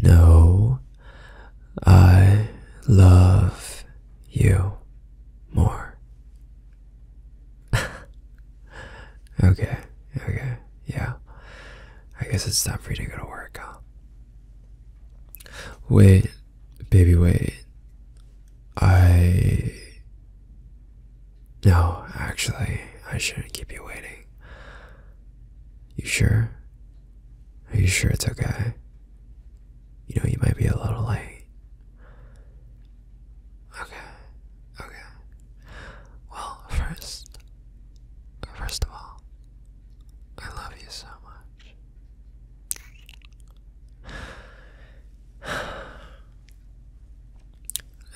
No, I love you more. okay, okay, yeah. I guess it's time for you to go to work, huh? Wait, baby, wait. I. No, actually, I shouldn't keep you waiting. You sure? Are you sure it's okay? You know, you might be a little late. Okay, okay. Well, first, first of all, I love you so much.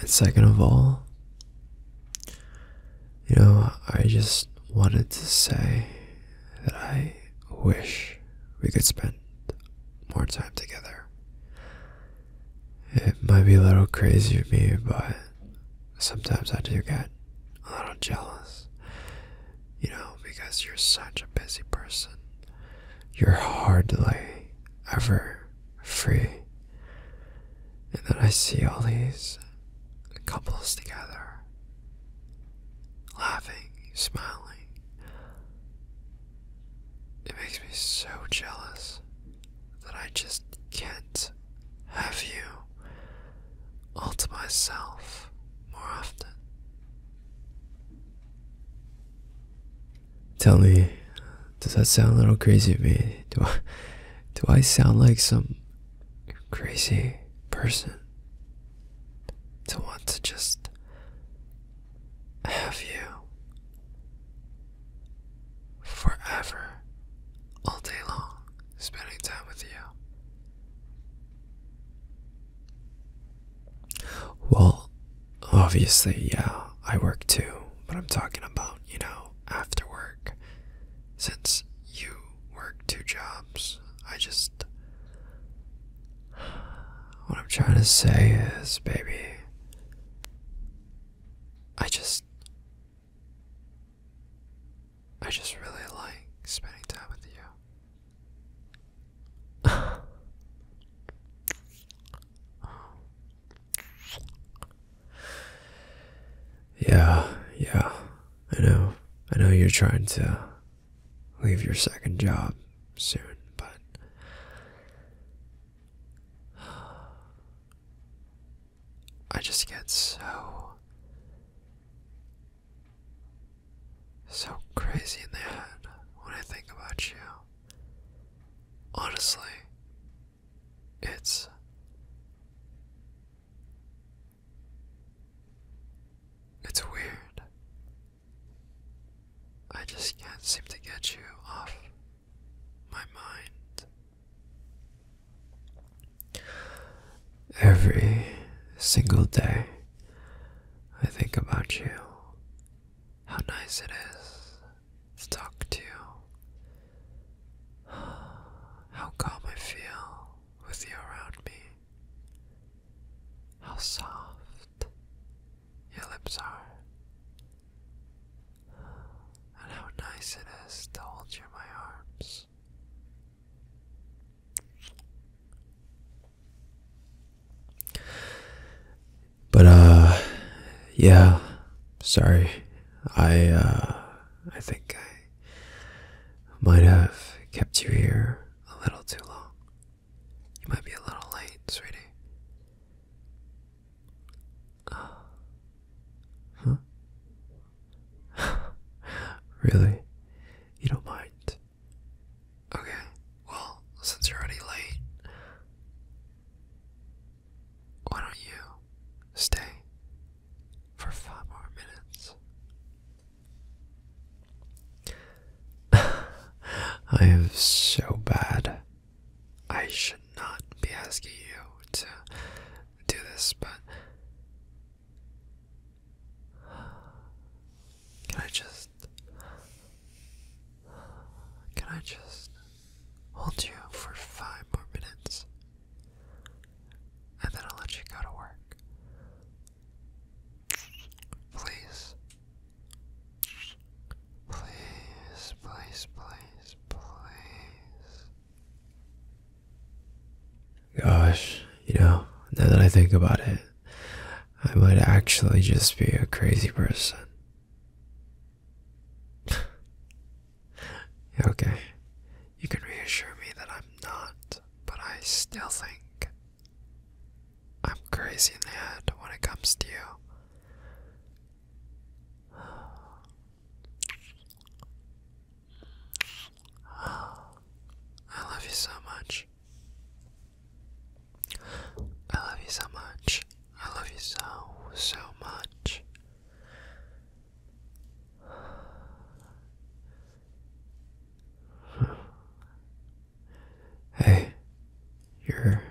And second of all, you know, I just wanted to say that I wish we could spend more time together. It might be a little crazy of me, but sometimes I do get a little jealous. You know, because you're such a busy person. You're hardly ever free and then I see all these couples together, laughing, smiling. It makes me so jealous that I just can't have you all to myself more often. Tell me does that sound a little crazy to me? Do I do I sound like some crazy person to want to just have you forever all day long spending time with you? Well, obviously, yeah, I work too, but I'm talking about, you know, after work. Since you work two jobs, I just. What I'm trying to say is, baby, I just. I just really like spending time with you. Oh. Yeah, yeah. I know. I know you're trying to leave your second job soon, but I just get so so crazy in the head when I think about you. Honestly, it's it's weird. I just can't seem to get you off my mind. Every single day, I think about you. How nice it is stuck to you. how calm I feel with you around me, how soft your lips are, and how nice it is to hold you in my arms. But, uh, yeah, Sorry, I, uh, I think I might have kept you here a little too long. You might be a little late, sweetie. huh? really? You don't mind? Okay, well, since you're already late, why don't you stay for five more minutes? I am so bad. I should not be asking you to do this, but can I just can I just Hold you for five more minutes. And then I'll let you go to work. Please. Please, please, please, please. Gosh, you know, now that I think about it, I might actually just be a crazy person. okay, you can reassure me that I'm not, but I still think I'm crazy in the head when it comes to you. I love you so much. I love you so much. I love you so, so much. Hey, you're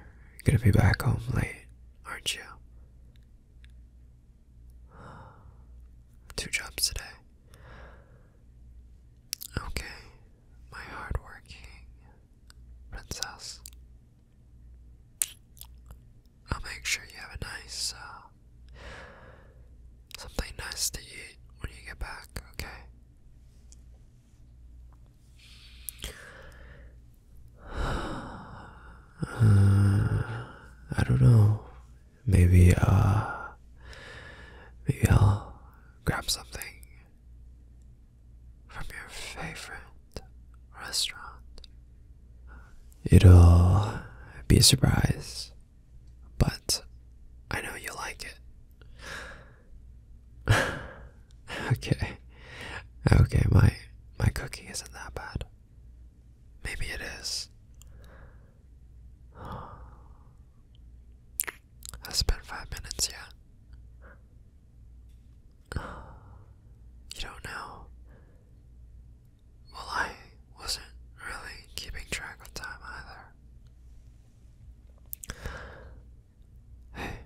gonna be back home late, aren't you? Two jobs today. Okay, my hardworking princess. I'll make sure you have a nice, uh, something nice to eat when you get back, okay? I don't know. Maybe, uh, maybe I'll grab something from your favorite restaurant. It'll be a surprise, but I know you'll like it. okay. Okay, my my cooking isn't that bad. Maybe it is. I spent five minutes yet. You don't know? Well, I wasn't really keeping track of time either. Hey,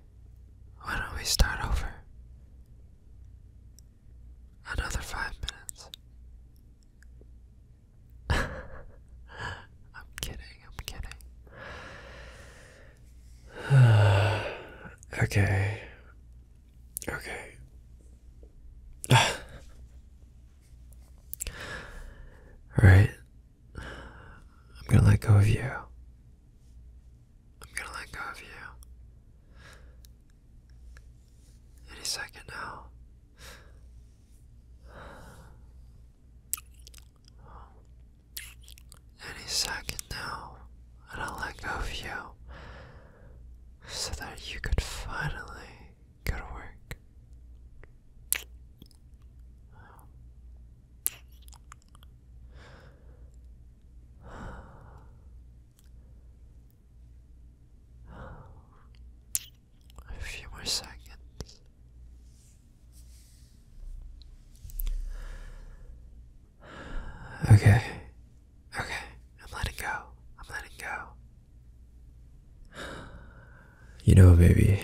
why don't we start over? Another five minutes. I'm kidding, I'm kidding. okay. Okay. Alright. I'm gonna let go of you. I'm gonna let go of you. Any second now. Any second now, and I'll let go of you so that you could finally go to work. A few more seconds. Okay. Okay. I'm letting go. I'm letting go. You know, baby.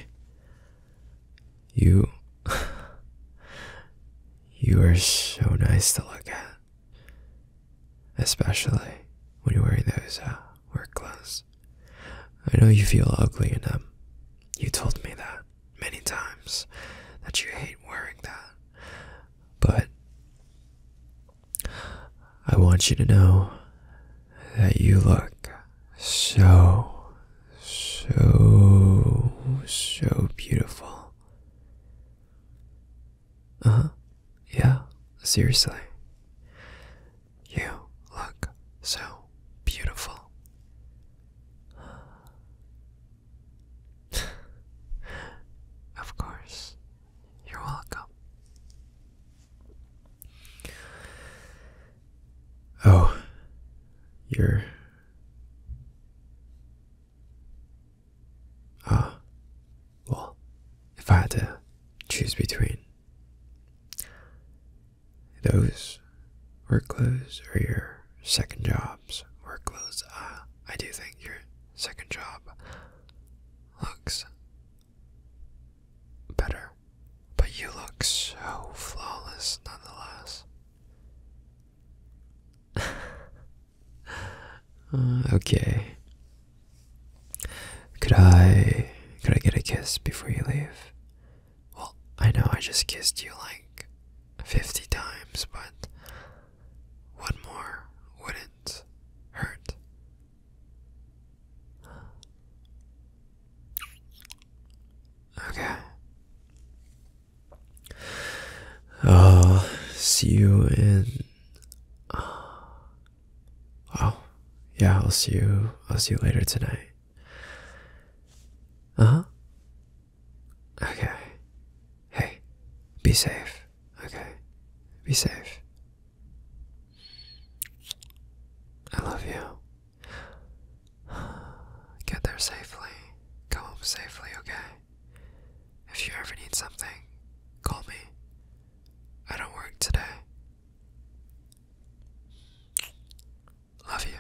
You. You are so nice to look at. Especially when you're wearing those uh, work clothes. I know you feel ugly in them. Um, you told me that many times that you hate wearing that. But I want you to know that you look so, so, so beautiful. Uh huh. Yeah, seriously. You look so beautiful. of course, you're welcome. Oh, you're. Ah, well, if I had to choose between those work clothes or your second job jobs were uh, I do think your second job looks better, but you look so flawless nonetheless. okay. Could I could I get a kiss before you leave? Well, I know I just kissed you like 50 times, but one more wouldn't hurt. Okay. I'll see you in. Oh, yeah. I'll see you. I'll see you later tonight. Uh huh. Okay. Hey, be safe. Okay. Be safe. I love you. Get there safely. Go home safely, okay? If you ever need something, call me. I don't work today. Love you.